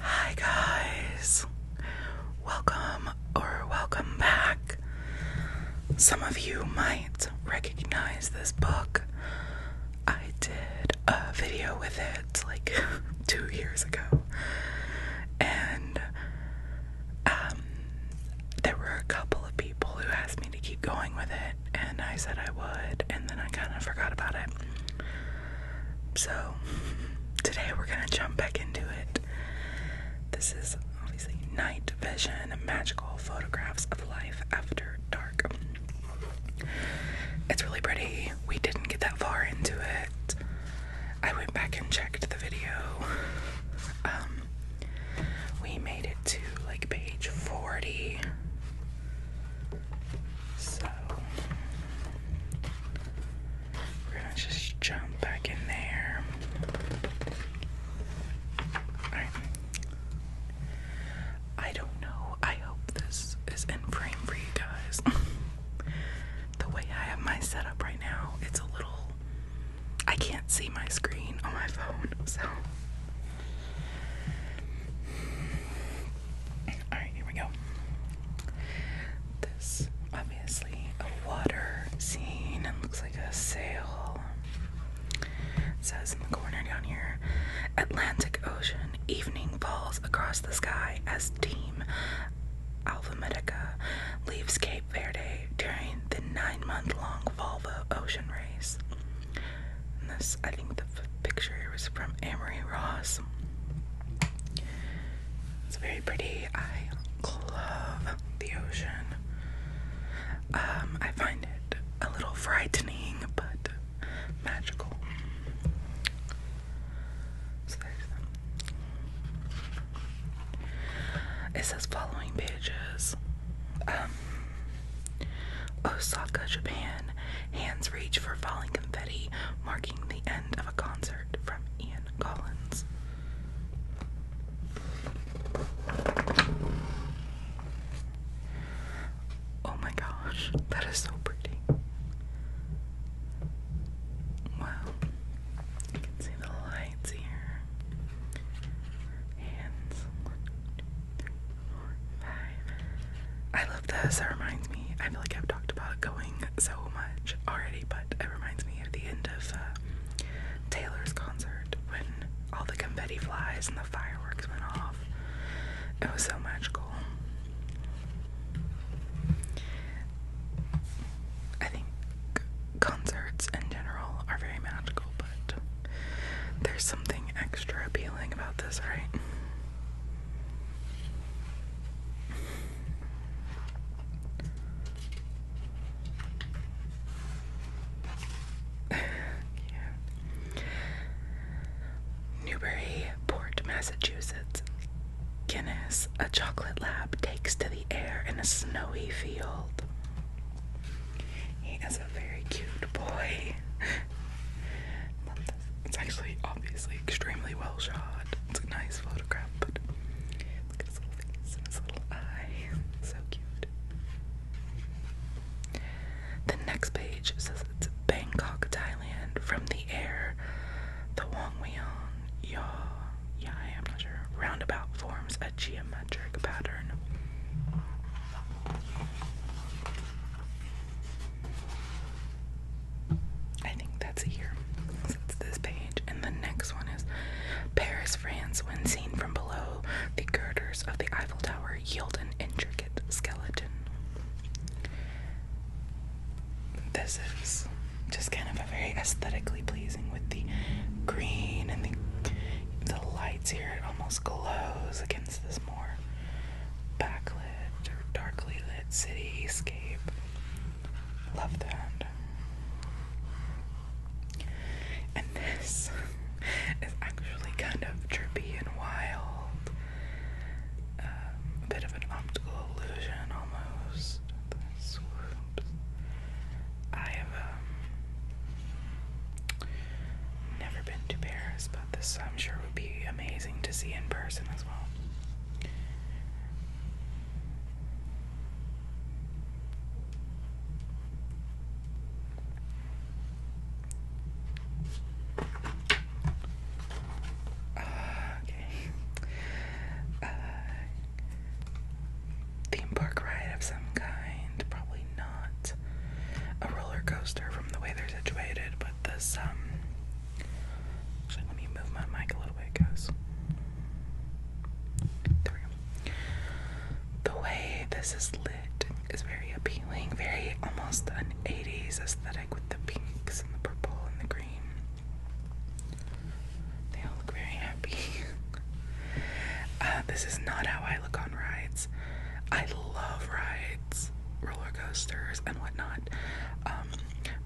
Hi, guys. Welcome or welcome back. Some of you might recognize this book. I did a video with it like two years ago, and um, there were a couple of people who asked me to keep going with it, and I said I would, and then I kind of forgot about it. So, today we're gonna jump back into it. This is obviously Night Vision Magical Photographs of Life After Dark. It's really pretty. We didn't get that far into it. I went back and checked the video. Um, we made it to like page 40. So we're gonna just jump back in there. Alright. I don't know. I hope this is in frame for you guys. the way I have my setup right now, it's a little. I can't see my screen on my phone, so. Alright, here we go. This obviously a water scene and looks like a sail. says in the corner down here Atlantic Ocean evening falls across the sky as team Alpha Medica leaves Cape Verde during the nine month long Volvo ocean race. this I think the picture was from Amory Ross. It's very pretty. I love the ocean. Um, I find it a little frightening, but magical. it says following pages. Um, Osaka, Japan Hands reach for falling confetti, marking the end of a concert from Ian Collins. Oh my gosh, that is so pretty. Wow, you can see the lights here. Hands, one, two, three, four, five. I love this. It reminds me, I feel like I've talked about going so much already, but it reminds me of the end of uh, Taylor's concert when all the confetti flies and the fireworks went off. It was so magical. I think concerts in general are very magical, but there's something extra appealing about this, right? Newburyport, Massachusetts. Guinness, a chocolate lab, takes to the air in a snowy field. He is a very cute boy. It's actually obviously extremely well shot. It's a nice photograph, but look at his little face and his little eye. So cute. The next page says it's Bangkok, Thailand. From the air, the Wong Weon Ya yeah, I'm not sure. Roundabout forms a geometric pattern. I think that's a year. it's this page. And the next one is Paris, France, when seen from below, the girders of the Eiffel Tower yield an intricate skeleton. This is just kind of a very aesthetically pleasing with the green and the the lights here. It almost glows against this more back or darkly lit cityscape. Love that. And this is actually kind of trippy and wild. Um, a bit of an optical illusion almost. I have um, never been to Paris, but this I'm sure would be amazing to see in person as well. Ah, okay. Ah. theme park ride of some kind, probably not. A roller coaster from the way they're situated, but this um, Actually, let me move my mic a little bit, guys. The way this is lit is very appealing, very almost an 80s aesthetic with the pinks and the purple and the green. They all look very happy. Uh, this is not how I look on rides. I love rides, roller coasters, and whatnot. Um,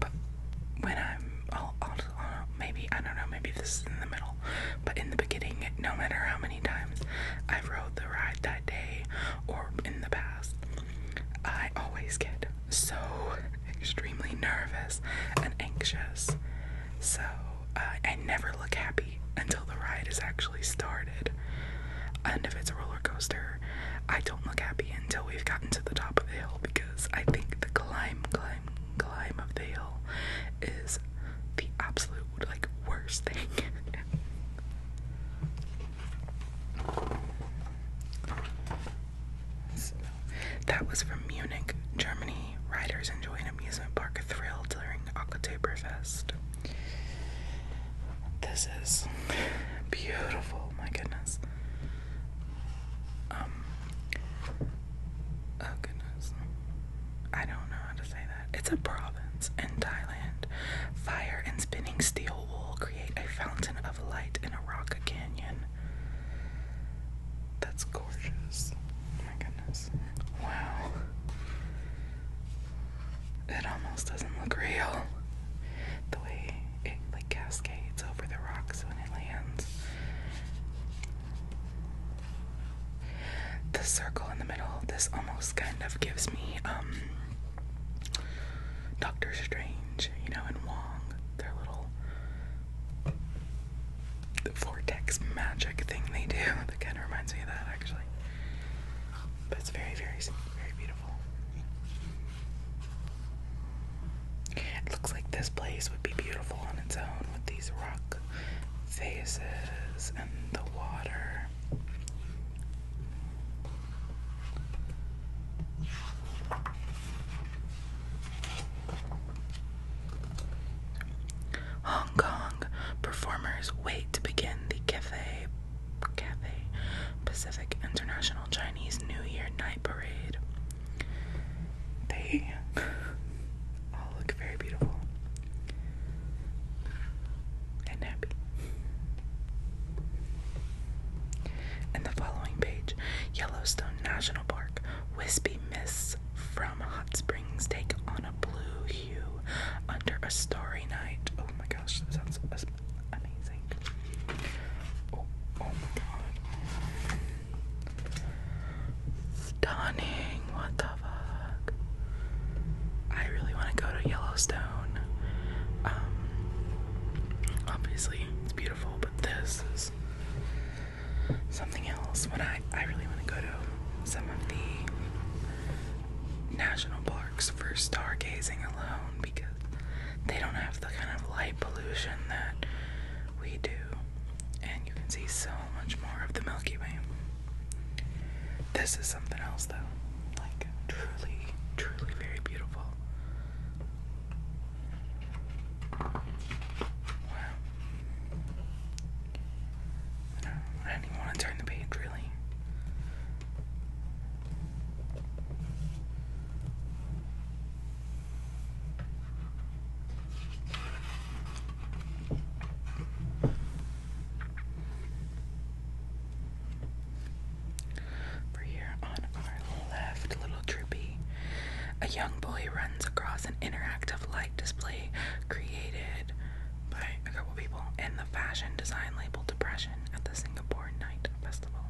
but when I'm, maybe, I don't know, maybe this is in the middle, but in the beginning, no matter how many times I rode the ride that day or in the past, I always get so extremely nervous and anxious. So I uh, never look happy until the ride is actually started. And if it's a roller coaster, I don't look happy until we've gotten to the top of the hill because I think the climb, climb, climb of the hill is the absolute like worst thing. that was from Munich, Germany. Riders enjoy an amusement park thrill during Oktoberfest. This is beautiful, my goodness. Um, oh goodness. I don't know how to say that. It's a province in Thailand. Fire and spinning steel wool create a fountain of light in a rock canyon. That's gorgeous. Oh my goodness. Wow. It almost doesn't look real. The way it like cascades over the rocks when it lands. The circle in the middle, this almost kind of gives me um Doctor Strange, you know, and Wong, their little the vortex magic thing they do. That kind of reminds me of that actually. But it's very, very, very beautiful. It looks like this place would be beautiful on its own with these rock faces and the water. Hong Kong performers wait to begin the Cathay, Cathay Pacific International Chinese New Year parade. They all look very beautiful and happy. And the following page Yellowstone National Park. Wispy mists from hot springs take on a blue hue under a starry night. Oh my gosh, that sounds amazing. Oh, oh, my god. Stunning, what the fuck? I really want to go to Yellowstone. Um, obviously, it's beautiful, but this is something else. When I, I really want to go to some of the national parks for stargazing alone because they don't have the kind of light pollution that we do. And you can see so much more of the Milky Way. This is something else, though. Like, truly, truly very beautiful. Wow. I didn't even want to turn the page, really. Over here on our left, a little droopy, a young boy runs across an interactive light display created by a group of people in the fashion design label Depression at the Singapore Night Festival.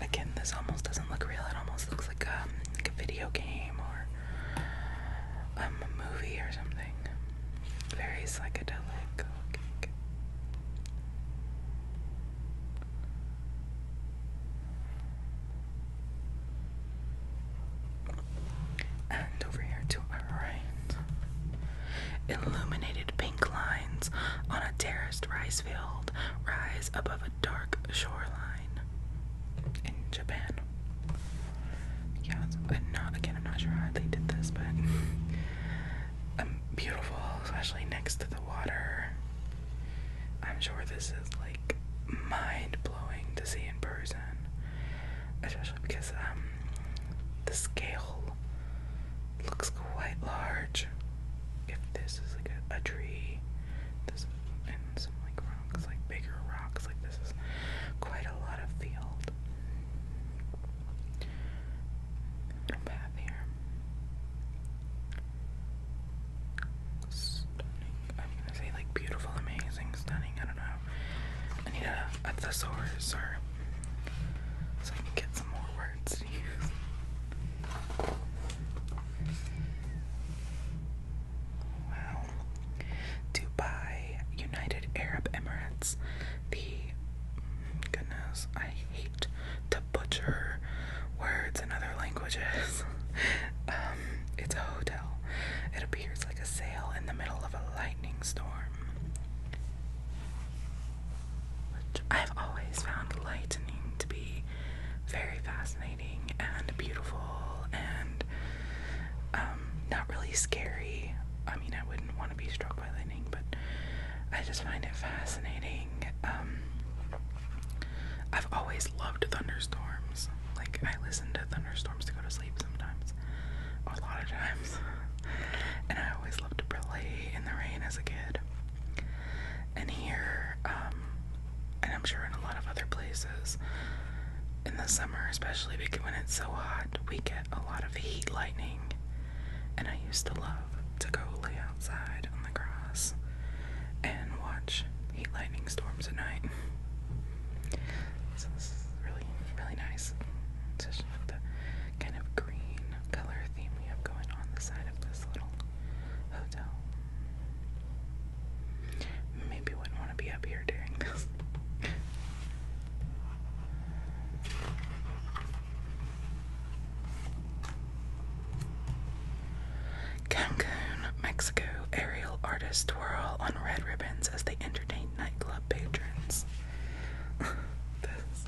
Again, this almost doesn't look real. It almost looks like um, a, video game or um, a movie or something. Very psychedelic And over here to our right, Illuminated pink lines on a terraced rice field rise above a dark shoreline in Japan. Yeah, and not again, I'm not sure how they did this, but um, beautiful, especially next to the water. I'm sure this is like mind blowing to see in person, especially because um, the scale looks quite large. If this is like a, tree, this and some like rocks, like bigger rocks, like this is quite a lot of field. path here. Stunning. I'm gonna say like beautiful, amazing, stunning. I don't know. I need a thesaurus or so I can get some more words Wow. Dubai, United Arab Emirates. The goodness, I hate to butcher words in other languages. Um, it's a hotel. It appears like a sail in the middle of a lightning storm. I've always found lightning to be very fascinating and beautiful and um, not really scary. I mean, I wouldn't want to be struck by lightning, but I just find it fascinating. Um, I've always loved thunderstorms. Like, I listen to thunderstorms to go to sleep sometimes, a lot of times and I always loved to play in the rain as a kid. And here, um, and I'm sure in a lot of other places, in the summer, especially because when it's so hot, we get a lot of heat lightning. And I used to love to go lay outside on the grass and watch heat lightning storms at night. So this is really, really nice. Especially with the kind of green color theme we have going on the side of this little hotel. Maybe wouldn't want to be up here doing this. Cancun, Mexico, aerial artists twirl on red ribbons as they entertain nightclub patrons. this,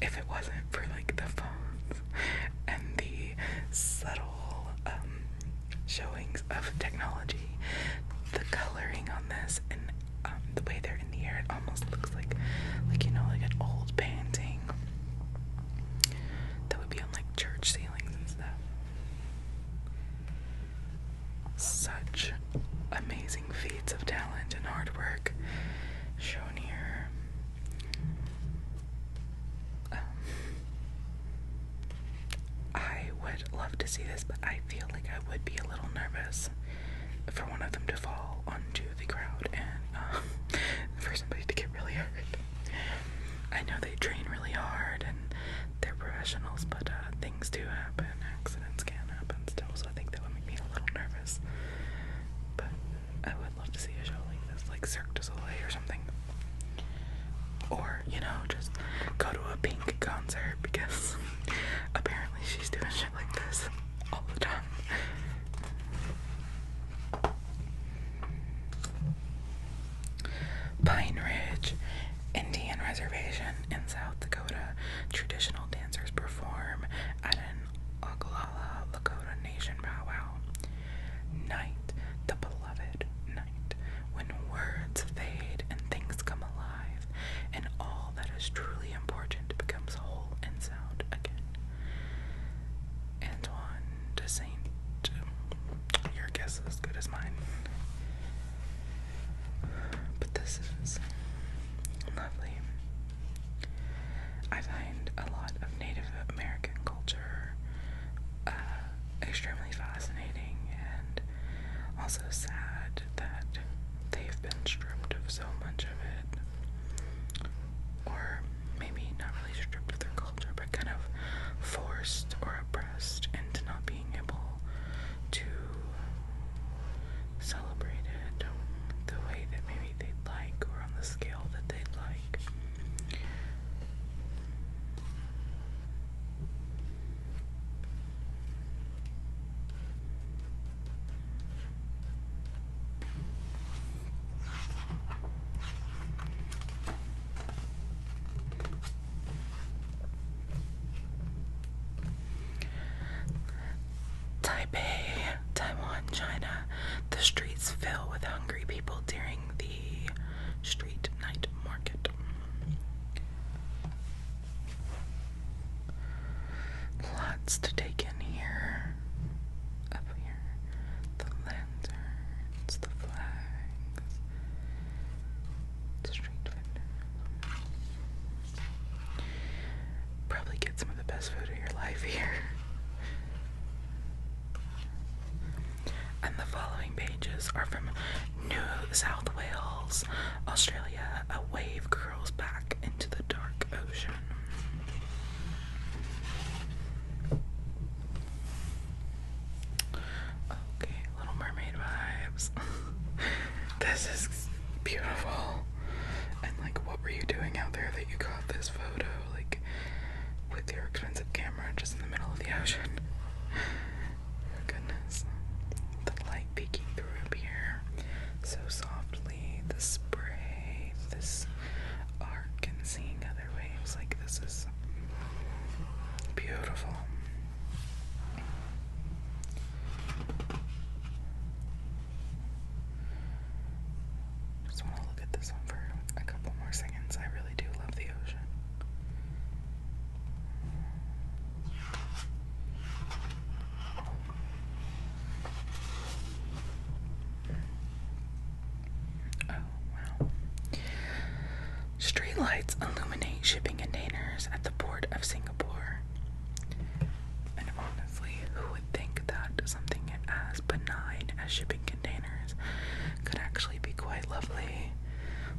if it wasn't for like the phones and the subtle um, showings of technology, the coloring on this and um, the way they're in the air, it almost looks like, like you know, like an old painting that would be on like church ceilings and stuff. Such amazing feats of talent and hard work shown here. Um, I would love to see this, but I feel like I would be a little nervous for one of them to fall onto the crowd and um, for somebody to get really hurt. I know they train really hard and they're professionals, but uh, things do happen. Accidents can happen so I think that would make me a little nervous. But I would love to see a show like this, like Cirque du Soleil or something. Or, you know, just go to a pink concert because apparently she's doing shit like this all the time. Pine Ridge Indian Reservation in South Dakota. Traditional dancers perform at an Oglala Lakota Nation powwow. Night, the beloved night, when words fade and things come alive, and all that is truly important becomes whole and sound again. Antoine de Saint, your guess is as good as mine. But this is lovely. I find a lot of Native American culture uh, extremely fascinating and also sad that they've been stripped of so much of it. Or maybe not really stripped of their culture, but kind of forced or oppressed into not being able to Celebrated the way that maybe they'd like or on the scale that they'd like. Taipei, Taiwan, China. The streets fill with hungry people during the street night market. Lots to take in here. Up here. The lanterns, the flags, street vendors probably get some of the best food of your life here. And the following pages are from New South Wales, Australia. A wave curls back into the dark ocean. Okay, Little Mermaid vibes. this is beautiful. And like, what were you doing out there you got this photo, like, with your expensive camera just in the middle of the ocean. Oh, goodness. The light peeking through up here so softly, the spray, this arc, and seeing other waves like this is beautiful. Just want to look at this one for a couple more seconds. I really do love the ocean. Oh, wow. Streetlights illuminate shipping containers at the port of Singapore. And honestly, who would think that something as benign as shipping containers could actually be quite lovely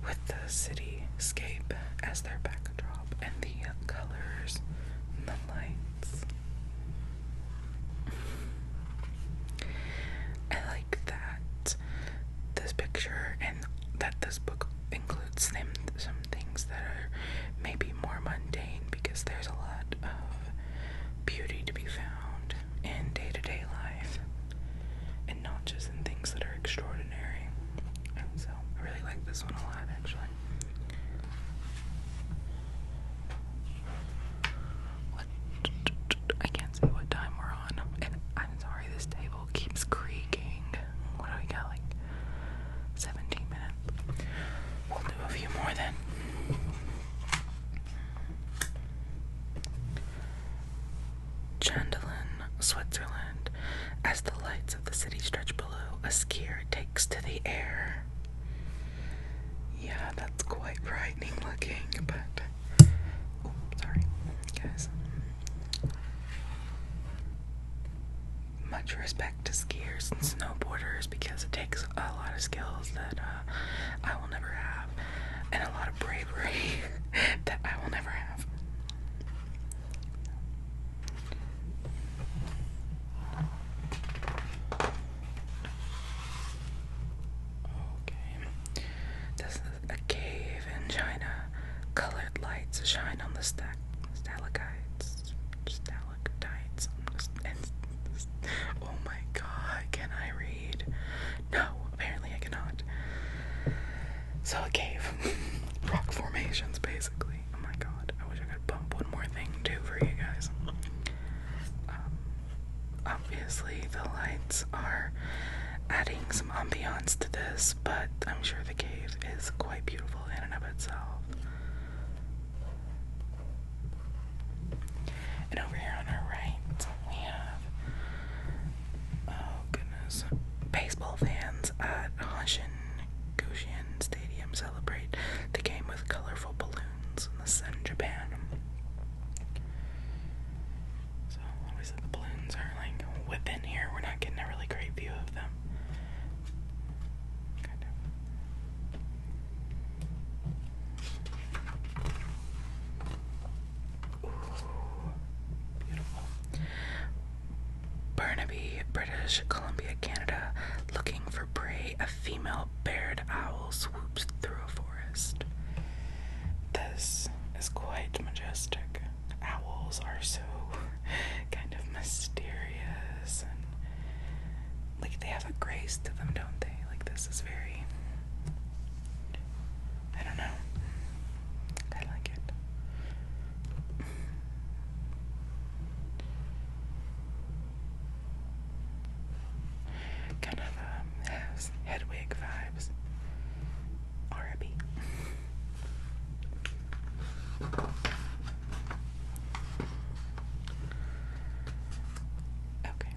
with the cityscape as their backdrop and the colors and the lights? I like that this picture and that this book includes them some things that are maybe more mundane because there's a lot of beauty to be found in day to day life and not just in things that are extraordinary. so I really like this one a lot actually. What I can't say what time we're on. I'm sorry this table keeps creaking. What do we got like 17 minutes? We'll do a few more then. Chandelin, Switzerland. As the lights of the city stretch below, a skier takes to the air. Yeah, that's quite frightening looking, but. Oh, sorry, guys. Much respect to skiers and snowboarders because it takes a lot of skills that uh, I will never have, and a lot of bravery that I will never have. Okay. a cave in China. Colored lights shine on the stack oh my god, can I read? No, apparently I cannot. So a cave, rock formations basically. Oh my god, I wish I could bump one more thing too for you guys. Um, obviously the lights are adding some ambiance to this, but I'm sure the cave is quite beautiful in and of itself. And over here on our right, we have oh goodness, baseball fans at Hoshin Gushin Stadium celebrate the game with colorful balloons in the sun, Japan. So obviously the balloons are like whipping here. We're not getting a really great view of them. Kind of. Ooh, Burnaby, British Columbia, Canada, looking for prey, a female bared owl swoops through a forest. This is quite majestic. Owls are so kind of mysterious and like they have a grace to them, don't they? Like this is very I don't know. I like it. Kind of um, Hedwig vibes. R.I.B. Okay.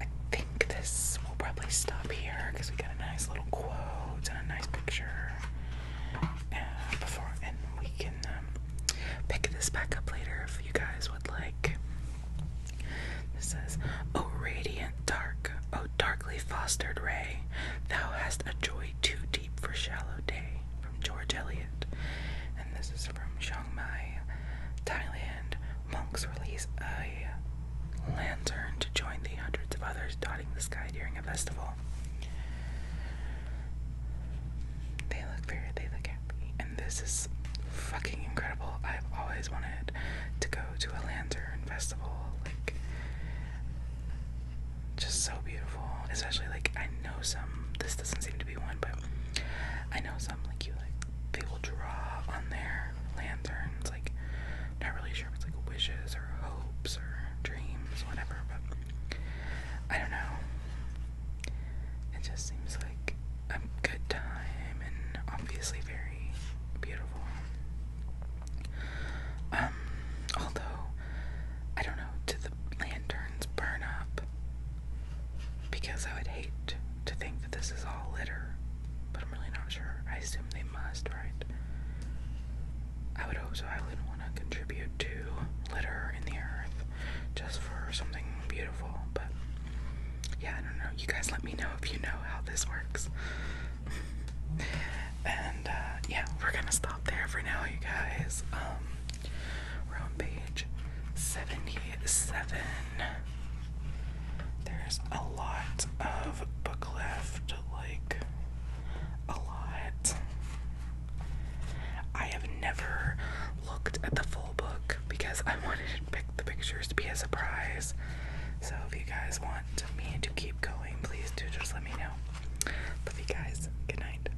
I think this will probably stop here because we got a nice little quote and a nice picture. Uh, before and we can um, pick this back up later if you guys would like. This says, "Oh radiant dark, oh darkly fostered ray, thou hast a joy too Deep for Shallow Day from George Eliot. And this is from Chiang Mai, Thailand. Monks release a lantern to join the hundreds of others dotting the sky during a festival. They look very, they look happy. And this is fucking incredible. I've always wanted to go to a lantern festival. Like, just so beautiful. Especially, like, I know some, this doesn't seem claim one, but I know some like you like they will draw on their lanterns, like not really sure if it's like wishes or hopes or dreams, whatever, but I don't know. It just seems like a good time and obviously very beautiful. Um, although I don't know, to the lanterns burn up because I would hate to think that this is all litter, but I'm really not sure. I assume they must, right? I would hope so. I wouldn't want to contribute to litter in the earth just for something beautiful, but yeah, I don't know. You guys let me know if you know how this works. and uh, yeah, we're gonna stop there for now, you guys. Um, page 77. There's a lot of book left, like a lot. I have never looked at the full book because I wanted to pick the pictures to be a surprise. So if you guys want me to keep going, please do just let me know. Love you guys. Good night.